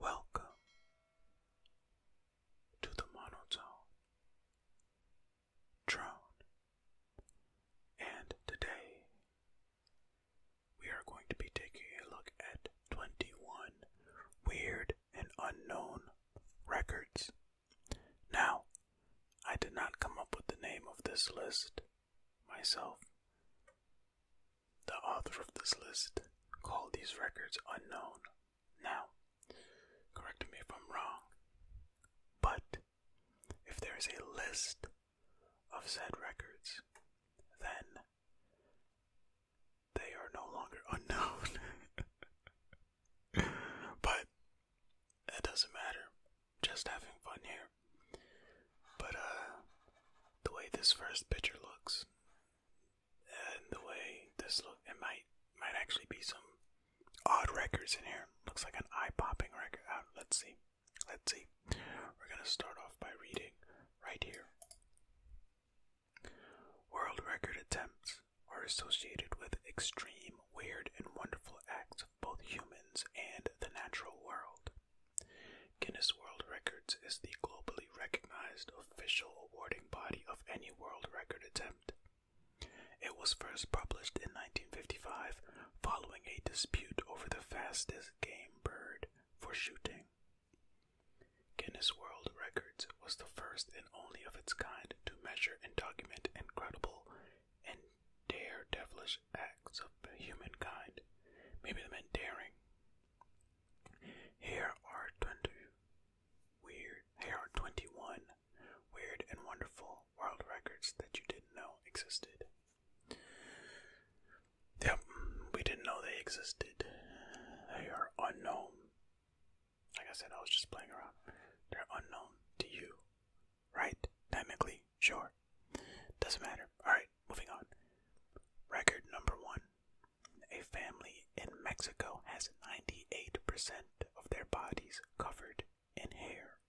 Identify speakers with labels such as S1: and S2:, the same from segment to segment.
S1: Welcome
S2: to the monotone drone, and today we are going to be taking a look at 21 weird and unknown records. Now, I did not come up with the name of this list myself. The author of this list called these records unknown. Now, correct me if I'm wrong, but if there is a list of said records, then they are no longer unknown. but that doesn't matter. Just having fun here. But uh the way this first picture looks and the way this looks, it might might actually be some odd records in here. Looks like an eye popping record. Uh, let's see. Let's see. We're gonna start off by reading right here. World record attempts are associated with extreme, weird, and wonderful acts of both humans and the natural world. Guinness World Records is the globally recognized official awarding body of any world record attempt. It was first published in 1955 following a dispute over the fastest game bird for shooting. Guinness World Records was the first and only of its kind to measure and document incredible and dare devilish acts of humankind. Maybe the meant daring. Here are twenty weird here are twenty one weird and wonderful world records that you didn't know existed. Yep, we didn't know they existed. They are unknown. Like I said, I was just playing around. They're unknown to you, right? Dynamically, sure. Doesn't matter. Alright, moving on. Record number one. A family in Mexico has 98% of their bodies covered in hair.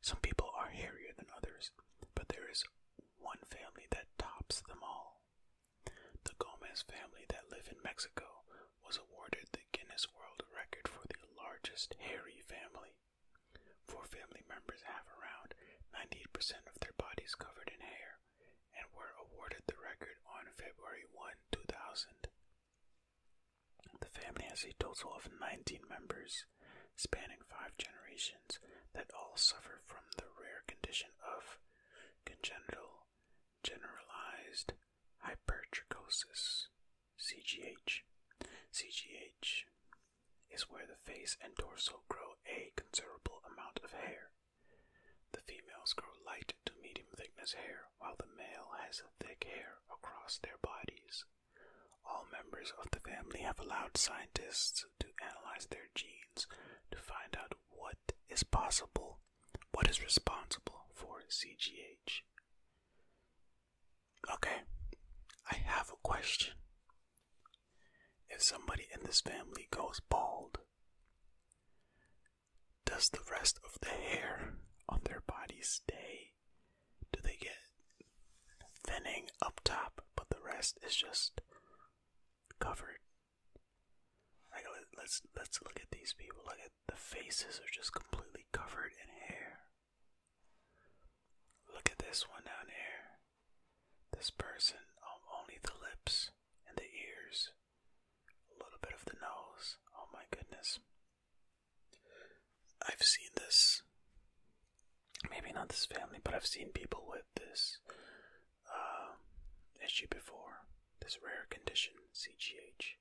S2: Some people are hairier than others, but there is one family that tops them all. The Gomez family that live in Mexico was awarded the Guinness World Record for the largest hairy family. Four family members have around 98% of their bodies covered in hair and were awarded the record on February 1, 2000. The family has a total of 19 members, spanning five generations, that all suffer from the rare condition of congenital generalized hypertrichosis, CGH. CGH is where the face and torso grow a considerable amount of hair. The females grow light to medium thickness hair, while the male has thick hair across their bodies. All members of the family have allowed scientists to analyze their genes to find out what is possible what is responsible for CGH? Okay, I have a question. If somebody in this family goes bald, does the rest of the hair on their body stay? Do they get thinning up top, but the rest is just covered? let's let's look at these people. Look at the faces are just completely covered in hair. Look at this one down here. This person, um, only the lips and the ears, a little bit of the nose. Oh my goodness. I've seen this. Maybe not this family, but I've seen people with this um, issue before this rare condition, CGH,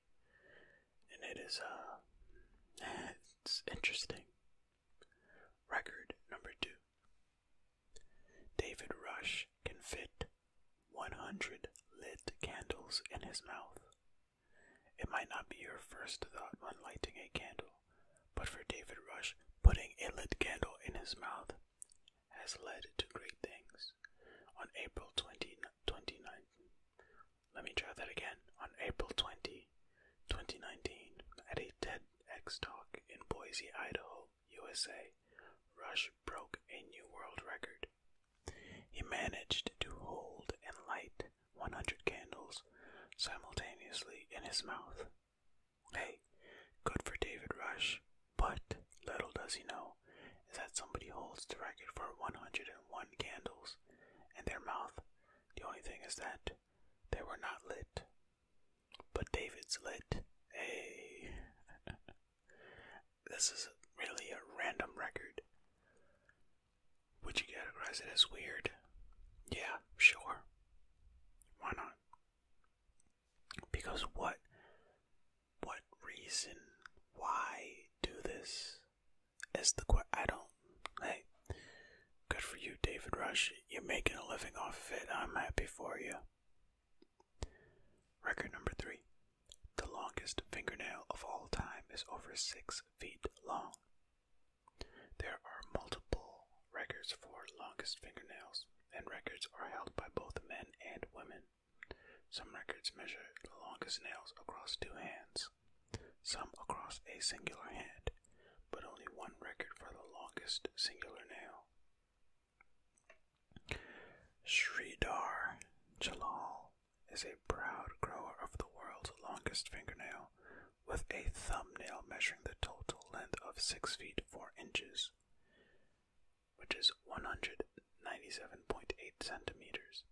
S2: and it is uh, it's interesting. Record number two. David Rush can fit 100 lit candles in his mouth. It might not be your first thought when lighting a candle, but for David Rush, putting a lit candle in his mouth has led to great things on April 20, Let me try that again. On April 20, 2019, at a TEDx talk in Boise, Idaho, USA, Rush broke a new world record. He managed to hold and light 100 candles simultaneously in his mouth. Hey, good for David Rush. But little does he know is that somebody holds the record for 101 candles in their mouth. The only thing is that they were not lit. But David's lit. Hey. this is really a random record. Would you categorize it as weird? Yeah, sure. Why not? Because what what reason? Why do this? Is the question. I don't. Hey, good for you, David Rush. You're making a living off it. I'm happy for you. Record number three. The longest fingernail of all time is over six feet long. There are multiple records for longest fingernails, and records are held by both men and women. Some records measure the longest nails across two hands, some across a singular hand, but only one record for the longest singular nail. Sridhar Jalal is a proud grower of the world's longest fingernail, with a thumbnail measuring the total length of 6 feet 4 inches which is 197.8 centimeters.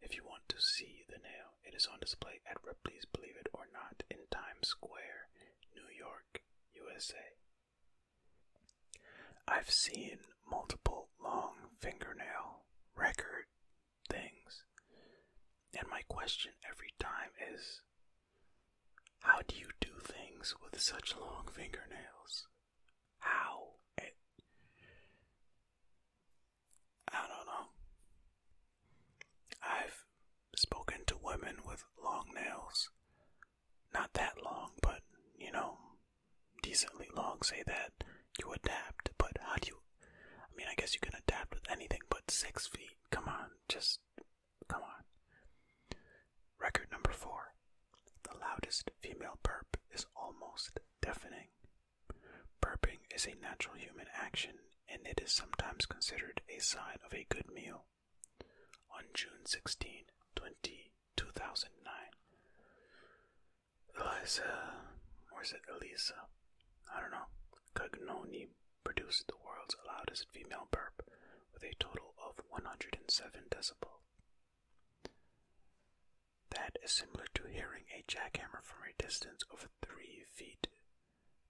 S2: If you want to see the nail, it is on display at Ripley's Believe It or Not in Times Square, New York, USA. I've seen multiple long fingernail record things, and my question every time is how do you do things with such long fingernails? how I don't know. I've spoken to women with long nails. Not that long, but you know, decently long, say that you adapt, but how do you I mean I guess you can adapt with anything but six feet. Come on, just come on. Record number four. The loudest female burp is almost deafening. Burping is a natural human action and it is sometimes considered a sign of a good meal. On June 16, 20, 2009, or is it Elisa? I don't know. Cagnoni produced the world's loudest female burp with a total of 107 decibels. That is similar to hearing a jackhammer from a distance of 3 feet,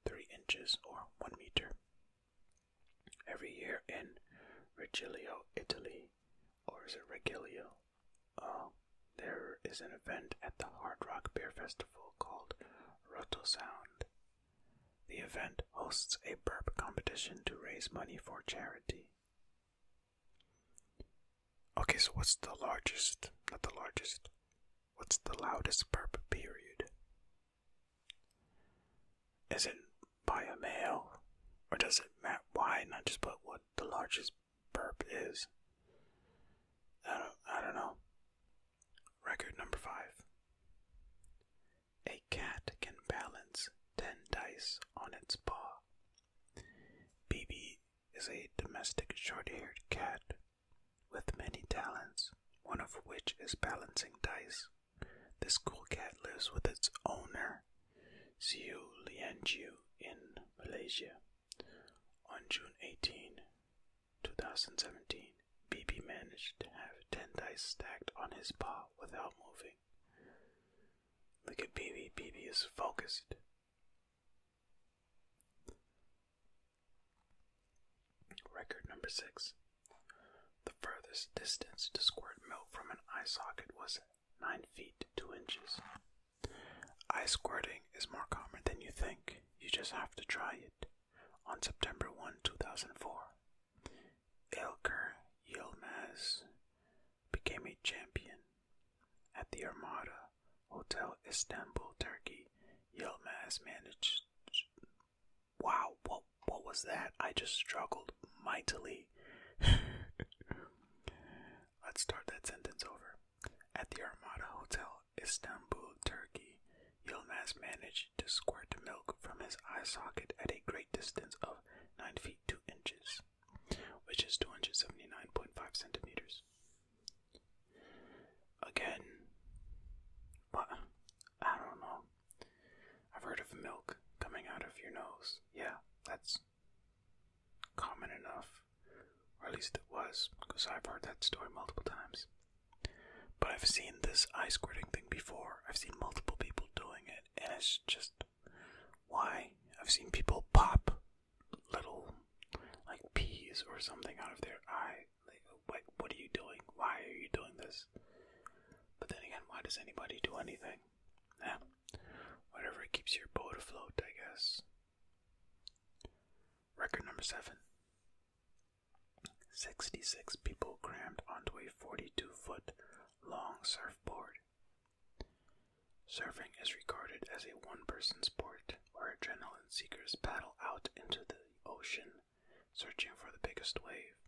S2: 3 inches, or 1 meter. Every year in Reggio, Italy, or is it Reggio? Oh, there is an event at the Hard Rock Beer Festival called Roto Sound. The event hosts a burp competition to raise money for charity. Okay, so what's the largest? Not the largest. What's the loudest burp period? Is it by a male? Or does it matter why not just put what the largest burp is? I don't, I don't know. Record number five. A cat can balance 10 dice on its paw Bibi is a domestic short haired cat with many talents, one of which is balancing dice. This cool cat lives with its owner, Siu Lianjiu, in Malaysia. On June 18, 2017, Bibi managed to have 10 dice stacked on his paw without moving. Look at BB. BB is focused. Record number six. The furthest distance to squirt milk from an eye socket was 9 feet 2 inches. Eye squirting is more common than you think. You just have to try it. On September 1, 2004, Ilker Yilmaz became a champion. At the Armada Hotel Istanbul, Turkey, Yilmaz managed. Wow, what, what was that? I just struggled mightily. Let's start that sentence over. At the Armada Hotel Istanbul, Turkey, Yilmaz managed to squirt milk from his eye socket at a great distance of 9 feet 2 inches which is 279.5 centimeters. Again, I don't know. I've heard of milk coming out of your nose. Yeah, that's common enough, or at least it was, because I've heard that story multiple times. But I've seen this eye squirting thing before. I've seen multiple people doing it, and it's just why I've seen people pop little like peas or something out of their eye. Like, what are you doing? Why are you doing this? But then again, why does anybody do anything? Yeah. whatever keeps your boat afloat, I guess. Record number seven. 66 people crammed onto a 42 foot long surfboard Surfing is regarded as a one person sport where adrenaline seekers paddle out into the ocean searching for the biggest wave.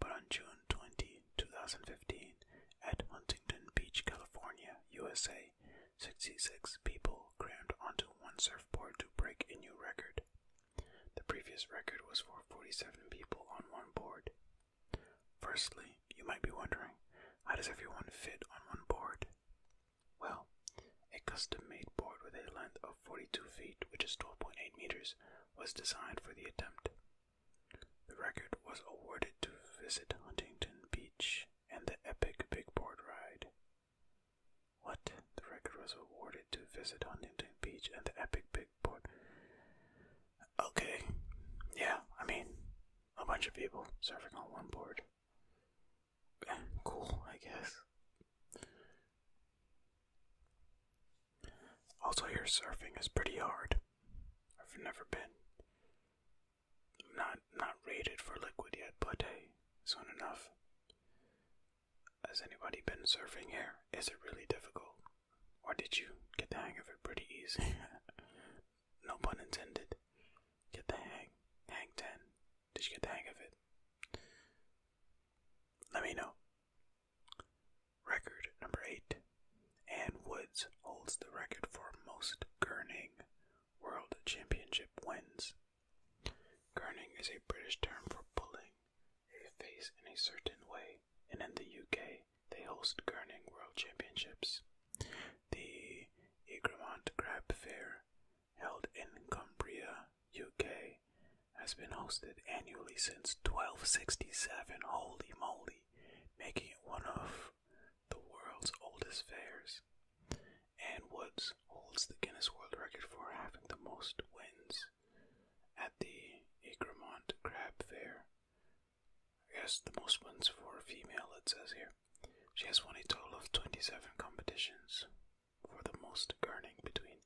S2: But on June 20, 2015, at Huntington Beach, California, USA, 66 people crammed onto one surfboard to break a new record. The previous record was for 47 people on one board. Firstly, you might be wondering, how does everyone fit on one board? Well, a custom-made board with a length of 42 feet, which is 12.8 meters, was designed for the attempt. The record was awarded to Visit Huntington Beach and the epic Big Board Ride. What? The record was awarded to Visit Huntington Beach and the epic Big like, okay, yeah, I mean, a bunch of people surfing on one board. Cool, I guess. Also, here surfing is pretty hard. I've never been. Not not rated for liquid yet, but hey, soon enough. Has anybody been surfing here? Is it really difficult? Or did you get the hang of it pretty easy? no pun intended. Get the hang. Hang 10. Did you get the hang of it? Let me know. Record number 8. Ann Woods holds the record for most Kerning World Championship wins. Kerning is a British term for pulling a face in a certain way, and in the UK, they host Kerning World Championships. The Egremont Crab Fair, held in Cumbria, UK, has been hosted annually since 1267. Holy moly, making it one of the world's oldest fairs. And Woods holds the Guinness World Record for having the most wins at the Egremont Crab Fair, I guess the most wins for a female, it says here. She has won a total of 27 competitions, for the most earning between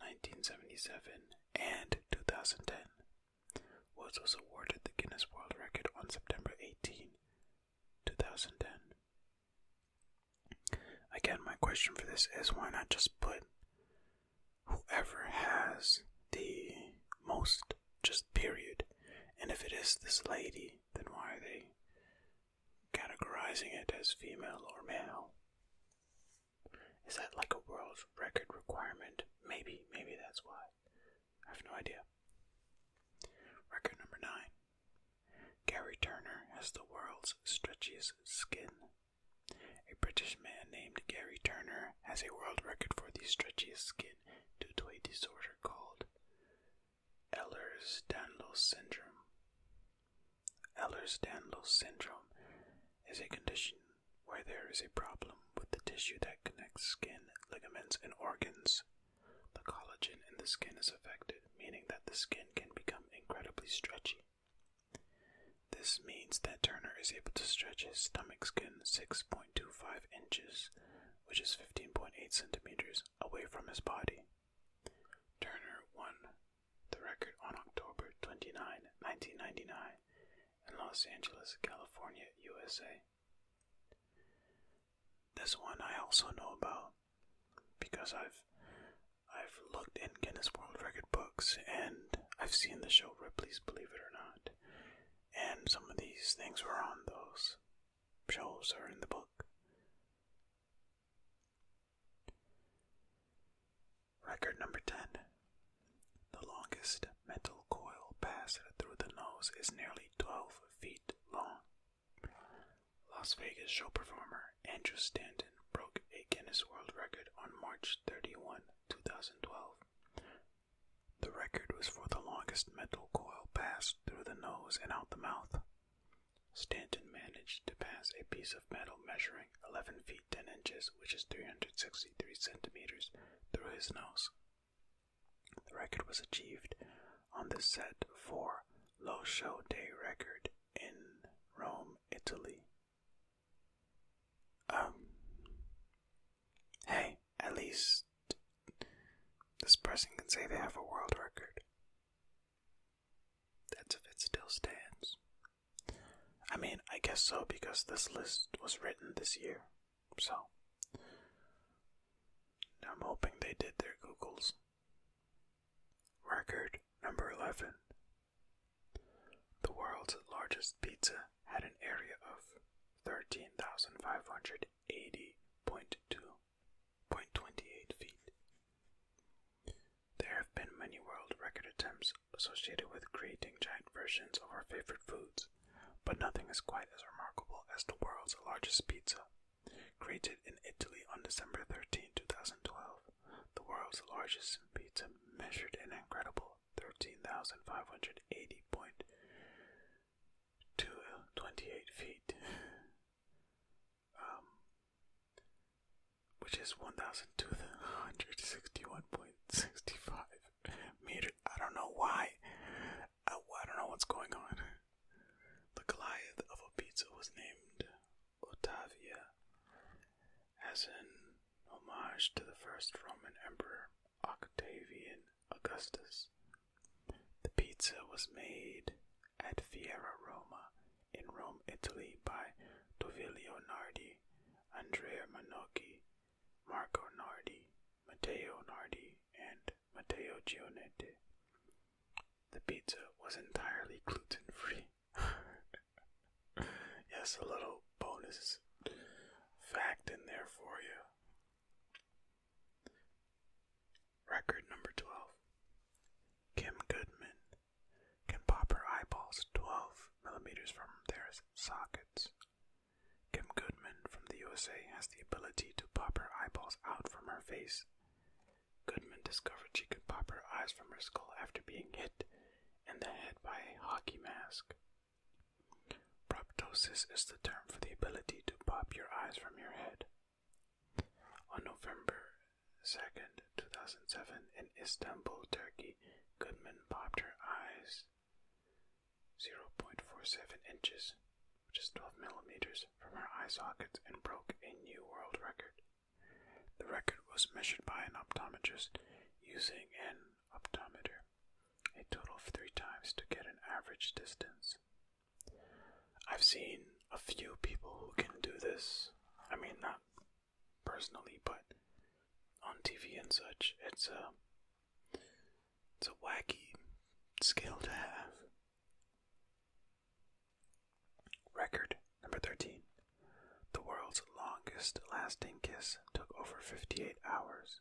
S2: 1977 and 2010. Woods was awarded the Guinness World Record on September 18, 2010. Again, my question for this is why not just put whoever has the most, just period. And if it is this lady, then why are they categorizing it as female or male? Is that like a world record requirement? Maybe, maybe that's why. I have no idea. Record number nine. Gary Turner has the world's stretchiest skin. A British man named Gary Turner Palmer has a world record for the stretchiest skin due to a disorder called Ehlers-Danlos syndrome. Ehlers-Danlos syndrome is a condition where there is a problem with the tissue that connects skin, ligaments, and organs. The collagen in the skin is affected, meaning that the skin can become incredibly stretchy. This means that Turner is able to stretch his stomach skin 6.2 inches, which is 15.8 centimeters, away from his body. Turner won the record on October 29, 1999, in Los Angeles, California, USA. This one I also know about because I've I've looked in Guinness World Record books and I've seen the show Ripley's Believe It or Not and some of these things were on those shows or in the book. Record number 10. The longest metal coil passed through the nose is nearly 12 feet long. Las Vegas show performer Andrew Stanton broke a Guinness World Record on March 31, 2012, the record was for the longest metal coil passed through the nose and out the mouth. Stanton managed to pass a piece of metal measuring 11 feet 10 inches, which is 363 centimeters, through his nose. The record was achieved on the set for low Show Day record in Rome, Italy. Um, hey, at least this person can say they have a world record. That's if it still stands. I mean, I guess so because this list was written this year, so I'm hoping they did their Googles. Record number 11 The world's largest pizza had an area of 13,580.28 feet. There have been many world record attempts associated with creating giant versions of our favorite foods, but nothing is quite as remarkable as the world's largest pizza. Created in Italy on December 13, 2012, the world's largest pizza measured an incredible 13,580.28 feet, um, which is 1,261.65 meters. I don't know why. I, don't know what's going on. The Goliath of a pizza was named Ottavia, as an homage to the first Roman emperor Octavian Augustus. The pizza was made at Fiera Roma in Rome, Italy by Tovilio Nardi, Andrea Manocchi, Marco Nardi, Matteo Nardi, and Matteo Gionetti. The pizza was entirely gluten free. yes, a little bonus fact in there for you. Record number 12. Kim Goodman can pop her eyeballs 12 millimeters from their sockets. Kim Goodman from the USA has the ability to pop her eyeballs out from her face. Goodman discovered she could pop her eyes from her skull after being hit in the head by a hockey mask. Proptosis is the term for the ability to pop your eyes from your head. On November 2nd, 2007, in Istanbul, Turkey, Goodman popped her eyes 0.47 inches, which is 12 millimeters, from her eye sockets and broke a new world record. The record was measured by an optometrist using an optometer a total of three times to get an average distance. I've seen a few people who can do this. I mean, not personally, but on TV and such. It's a it's a wacky skill to have. Record number 13. The world's longest lasting kiss took over 58 hours.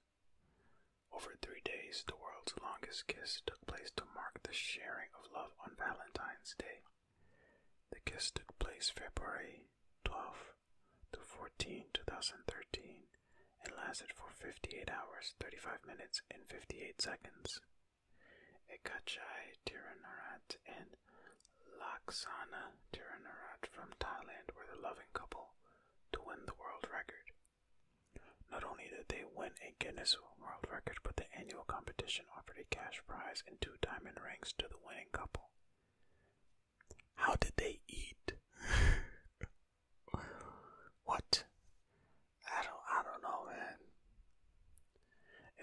S2: Over three days, the world's longest kiss took place to mark the sharing of love on Valentine's Day. The kiss took place February 12 to 14, 2013, and lasted for 58 hours, 35 minutes, and 58 seconds. Ekachai Tiranarat and Laksana Tiranarat from Thailand were the loving couple to win the world record. Not only did they win a Guinness World Record, but the annual competition offered a cash prize and two diamond rings to the winning couple. How did they eat? what? I don't I don't know, man.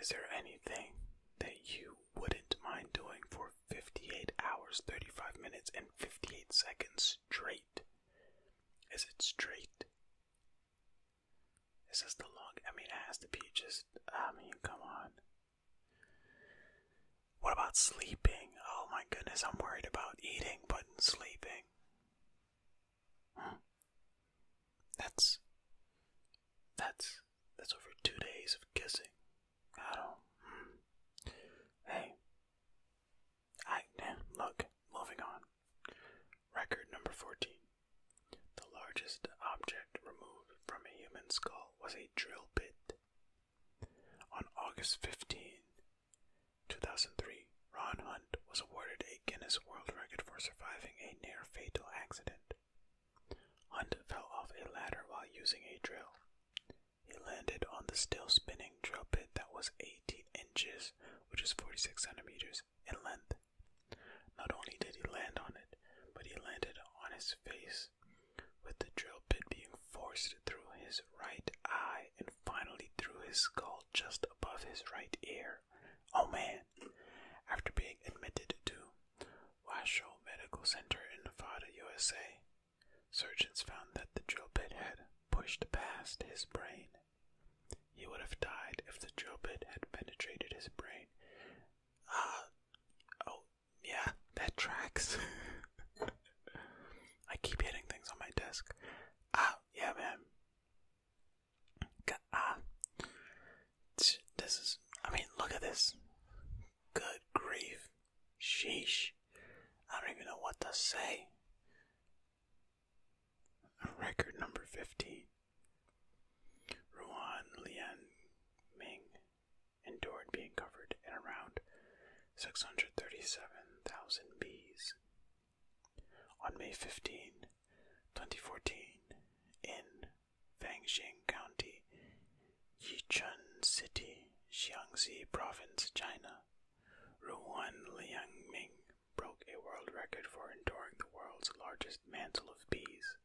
S2: Is there anything that you wouldn't mind doing for 58 hours, 35 minutes and 58 seconds straight? Is it straight? Is this the long? I mean, it has to be just. I mean, come on. What about sleeping? Oh my goodness, I'm worried about eating but sleeping. That's. That's. That's over two days of kissing. I don't. Hmm. Hey, look, moving on. Record number 14. The largest object removed from a human skull was a drill bit. On August 15, 2003, Ron Hunt was awarded a Guinness World Record for surviving a near fatal accident. Hunt fell off a ladder while using a drill. He landed on the still spinning drill bit that was 18 inches, which is 46 centimeters in length. Not only did he land on it, but he landed on his face, with the drill bit being forced through his right eye and finally through his skull just above his right ear. Oh man! After being admitted to Washoe Medical Center in Nevada, USA, Surgeons found that the drill bit had pushed past his brain. He would have died if the drill bit had penetrated his brain. Ah, oh, yeah, that tracks. I keep hitting things on my desk. Ah, yeah, man. Ah, this is. I mean, look at this. Good grief. Sheesh. I don't even know what to say. Record number 15. Ruan Lian endured being covered in around 637,000 bees. On May 15, 2014, in Fangxing County, Yichun City, Xiangxi Province, China, Ruan Liangming broke a world record for enduring the world's largest mantle of bees.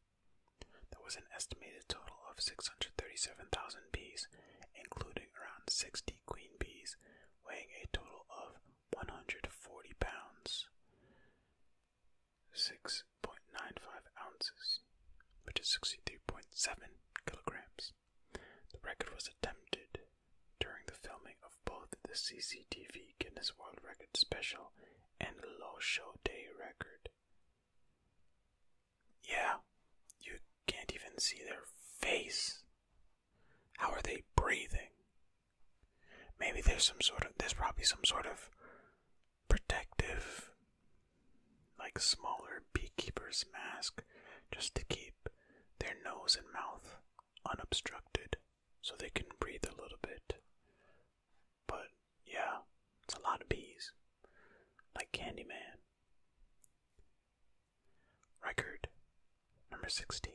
S2: There was an estimated total of 637,000 bees, including around 60 queen bees, weighing a total of 140 pounds, 6.95 ounces, which is 63.7 kilograms. The record was attempted during the filming of both the CCTV Guinness World Record special and Low Show Day record. Yeah, you can't even see their face. How are they breathing? Maybe there's some sort of, there's probably some sort of protective like smaller beekeepers' mask just to keep their nose and mouth unobstructed so they can breathe a little bit. But yeah, it's a lot of bees. Like Candyman. Record number 16.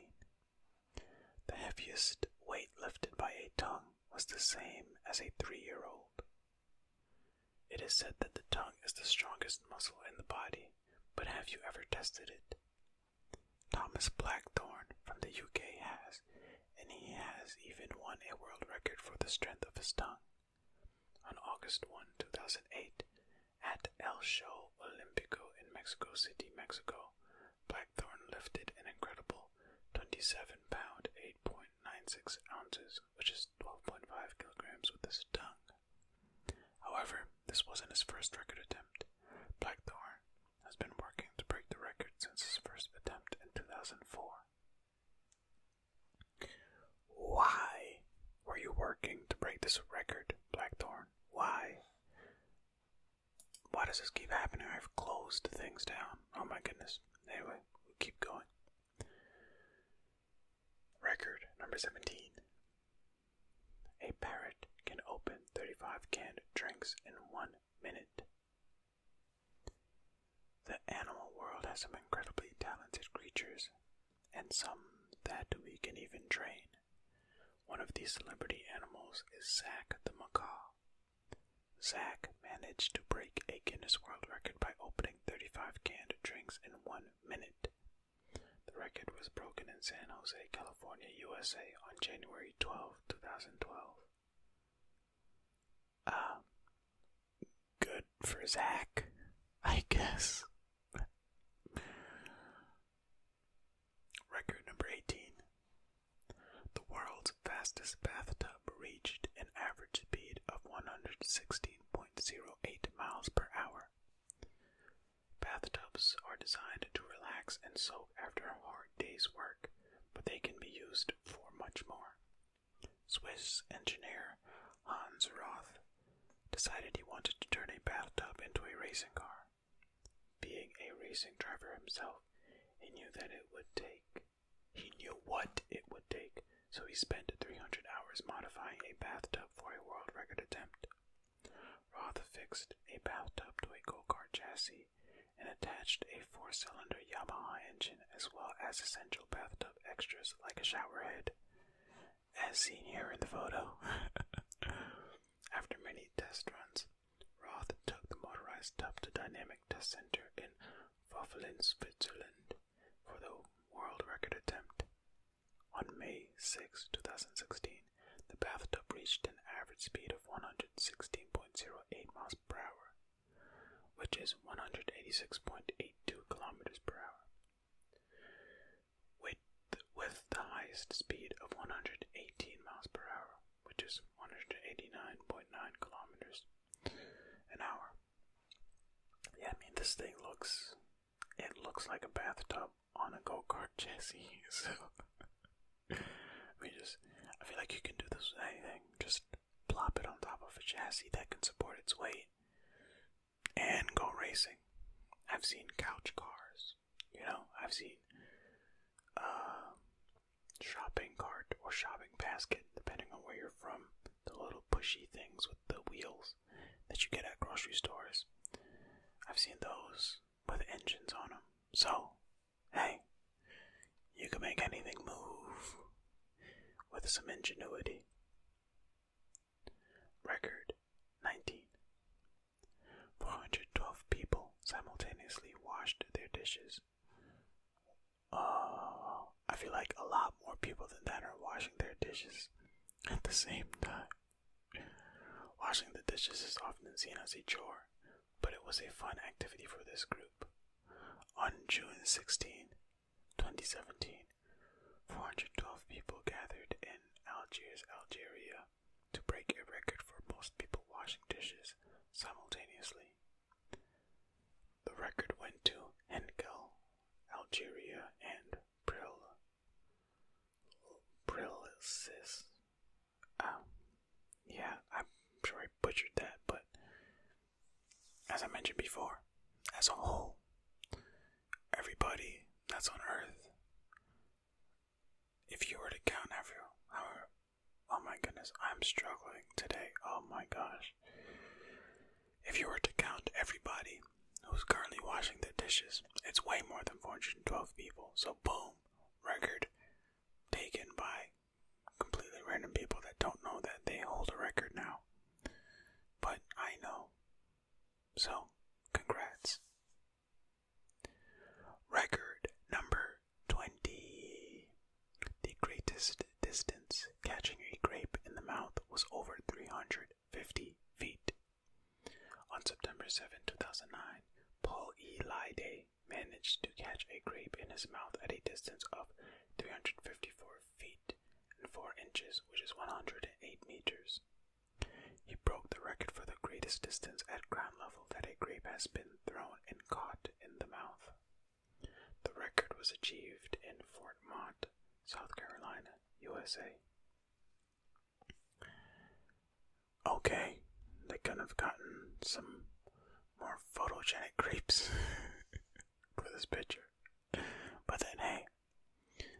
S2: The heaviest weight lifted by a tongue was the same as a three year old. It is said that the tongue is the strongest muscle in the body, but have you ever tested it? Thomas Blackthorne from the UK has, and he has even won a world record for the strength of his tongue. On August 1, 2008, at El Show Olímpico in Mexico City, Mexico, Blackthorne lifted an incredible 27 pound 8.96 ounces which is 12.5 kilograms with his tongue. However, this wasn't his first record attempt. Blackthorn has been working to break the record since his first attempt in 2004. Why were you working to break this record, Blackthorn? Why? Why does this keep happening? I've closed things down. Oh my goodness. Anyway, keep going. Record number 17. A parrot can open 35 canned drinks in one minute. The animal world has some incredibly talented creatures, and some that we can even train. One of these celebrity animals is Zach the Macaw. Zach managed to break a Guinness World Record by opening 35 canned drinks in one minute the record was broken in San Jose, California, USA on January 12, 2012. Um, good for Zach, I guess. Record number 18. The world's fastest bathtub reached an average speed of 116.08 miles per hour shower. Bathtubs are designed to relax and soak after a hard day's work, but they can be used for much more. Swiss engineer Hans Roth decided he wanted to turn a bathtub into a racing car. Being a racing driver himself, he knew that it would take he knew what it would take so he spent 300 hours modifying a bathtub for a world record attempt. Roth fixed a bathtub to a go kart chassis and attached a four cylinder Yamaha engine as well as essential bathtub extras like a shower head, as seen here in the photo. After many test runs, Roth took the motorized tub to Dynamic Test Center in Waffelen, Switzerland for the world record attempt. On May 6, 2016, the bathtub reached an average speed of 116.08 miles per hour, which is 186.82 kilometers per hour, with, with the highest speed of 118 miles per hour, which is 189.9 kilometers an hour. Yeah, I mean, this thing looks it looks like a bathtub on a go kart chassis. So we just, I feel like you can do this with anything. Just plop it on top of a chassis that can support its weight and go racing. I've seen couch cars, you know, I've seen um, shopping cart or shopping basket, depending on where you're from. The little pushy things with the wheels that you get at grocery stores. I've seen those with engines on them. So, hey, you can make anything move with some ingenuity. Record 19. 412 people simultaneously washed their dishes. Uh, I feel like a lot more people than that are washing their dishes at the same time, washing the dishes is often seen as a chore, but it was a fun activity for this group. On June 16, 2017, 412 people gathered in Algiers, Algeria, to break a record for most people washing dishes simultaneously. The record went to Henkel, Algeria, and Pril, Brilysis. Um, yeah, I'm sure I butchered that, but as I mentioned before, as a whole, everybody that's on Earth, if you were to count everyone oh my goodness, I'm struggling today. Oh my gosh. If you were to count everybody who's currently washing their dishes, it's way more than 412 people. So, boom, record taken by completely random people that don't know that they hold a record now. But I know. So, congrats. Record number 20. The greatest distance catching a grape in the mouth was over 300 150 feet. On September 7, 2009, Paul E. Lyday managed to catch a grape in his mouth at a distance of 354 feet and 4 inches, which is 108 meters. He broke the record for the greatest distance at ground level that a grape has been thrown and caught in the mouth. The record was achieved in Fort Mott, South Carolina, USA. Okay, they could have gotten some more photogenic creeps for this picture. But then, hey,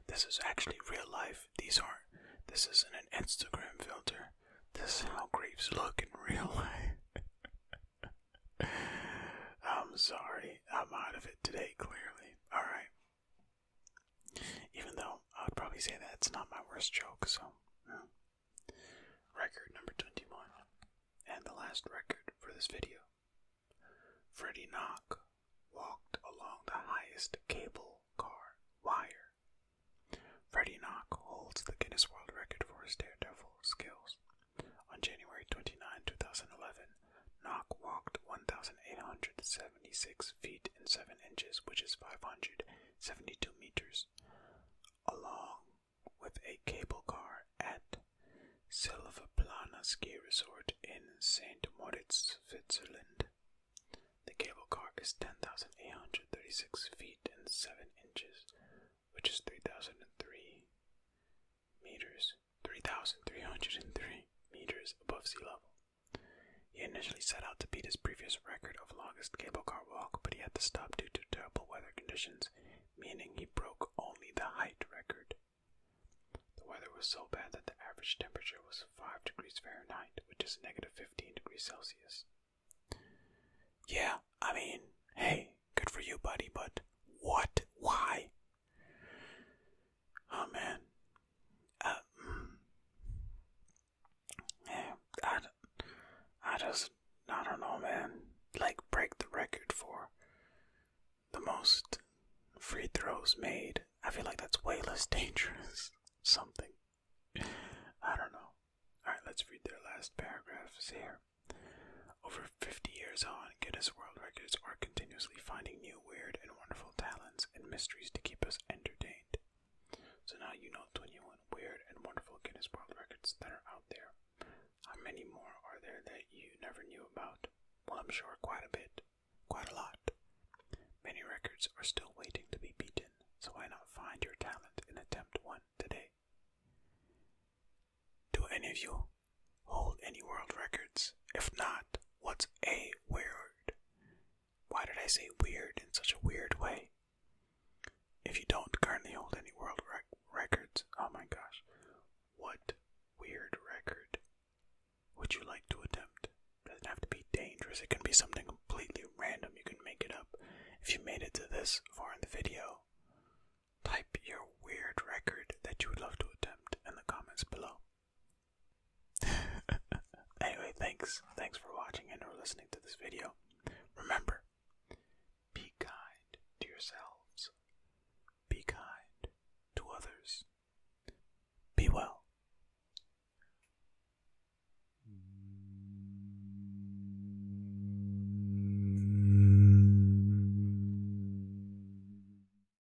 S2: this is actually real life. These aren't, this isn't an Instagram filter. This is how creeps look in real life. I'm sorry, I'm out of it today, clearly. Alright, even though I would probably say that it's not my worst joke, so. Record number 21, and the last record for this video. Freddie Knock walked along the highest cable car wire. Freddie Knock holds the Guinness World Record for his daredevil skills. On January 29, 2011, Nock walked 1,876 feet and 7 inches, which is 572 meters, along with a cable car at Silvaplana Ski Resort in St. Moritz, Switzerland. The cable car is 10,836 feet and 7 inches, which is 3,003 meters. 3,303 meters above sea level. He initially set out to beat his previous record of longest cable car walk, but he had to stop due to terrible weather conditions, meaning he broke only the height record. The weather was so bad that the average temperature was 5 degrees Fahrenheit, which is negative 15 degrees Celsius. Yeah, I mean, hey, good for you, buddy, but what? Why? Oh man, uh, mm. I, I just I don't know, man. Like break the record for the most free throws made. I feel like that's way less dangerous. Something. I don't know. Alright, let's read their last paragraphs here. Over 50 years on, Guinness World Records are continuously finding new weird and wonderful talents and mysteries to keep us entertained. So now you know 21 weird and wonderful Guinness World Records that are out there. How many more are there that you never knew about? Well, I'm sure quite a bit. Quite a lot. Many records are still waiting to be beaten, so why not find your talent and attempt one today? Do any of you hold any world records? If not, what's a weird? Why did I say weird in such a weird way? If you don't currently hold any world records, oh my gosh, what weird record would you like to attempt? It doesn't have to be dangerous, it can be something completely random, you can make it up. If you made it to this far in the video, type your weird record that you would love to attempt in the comments below. anyway, thanks. Thanks for watching and or listening to this video. Remember, be kind to yourselves. Be kind to others. Be well.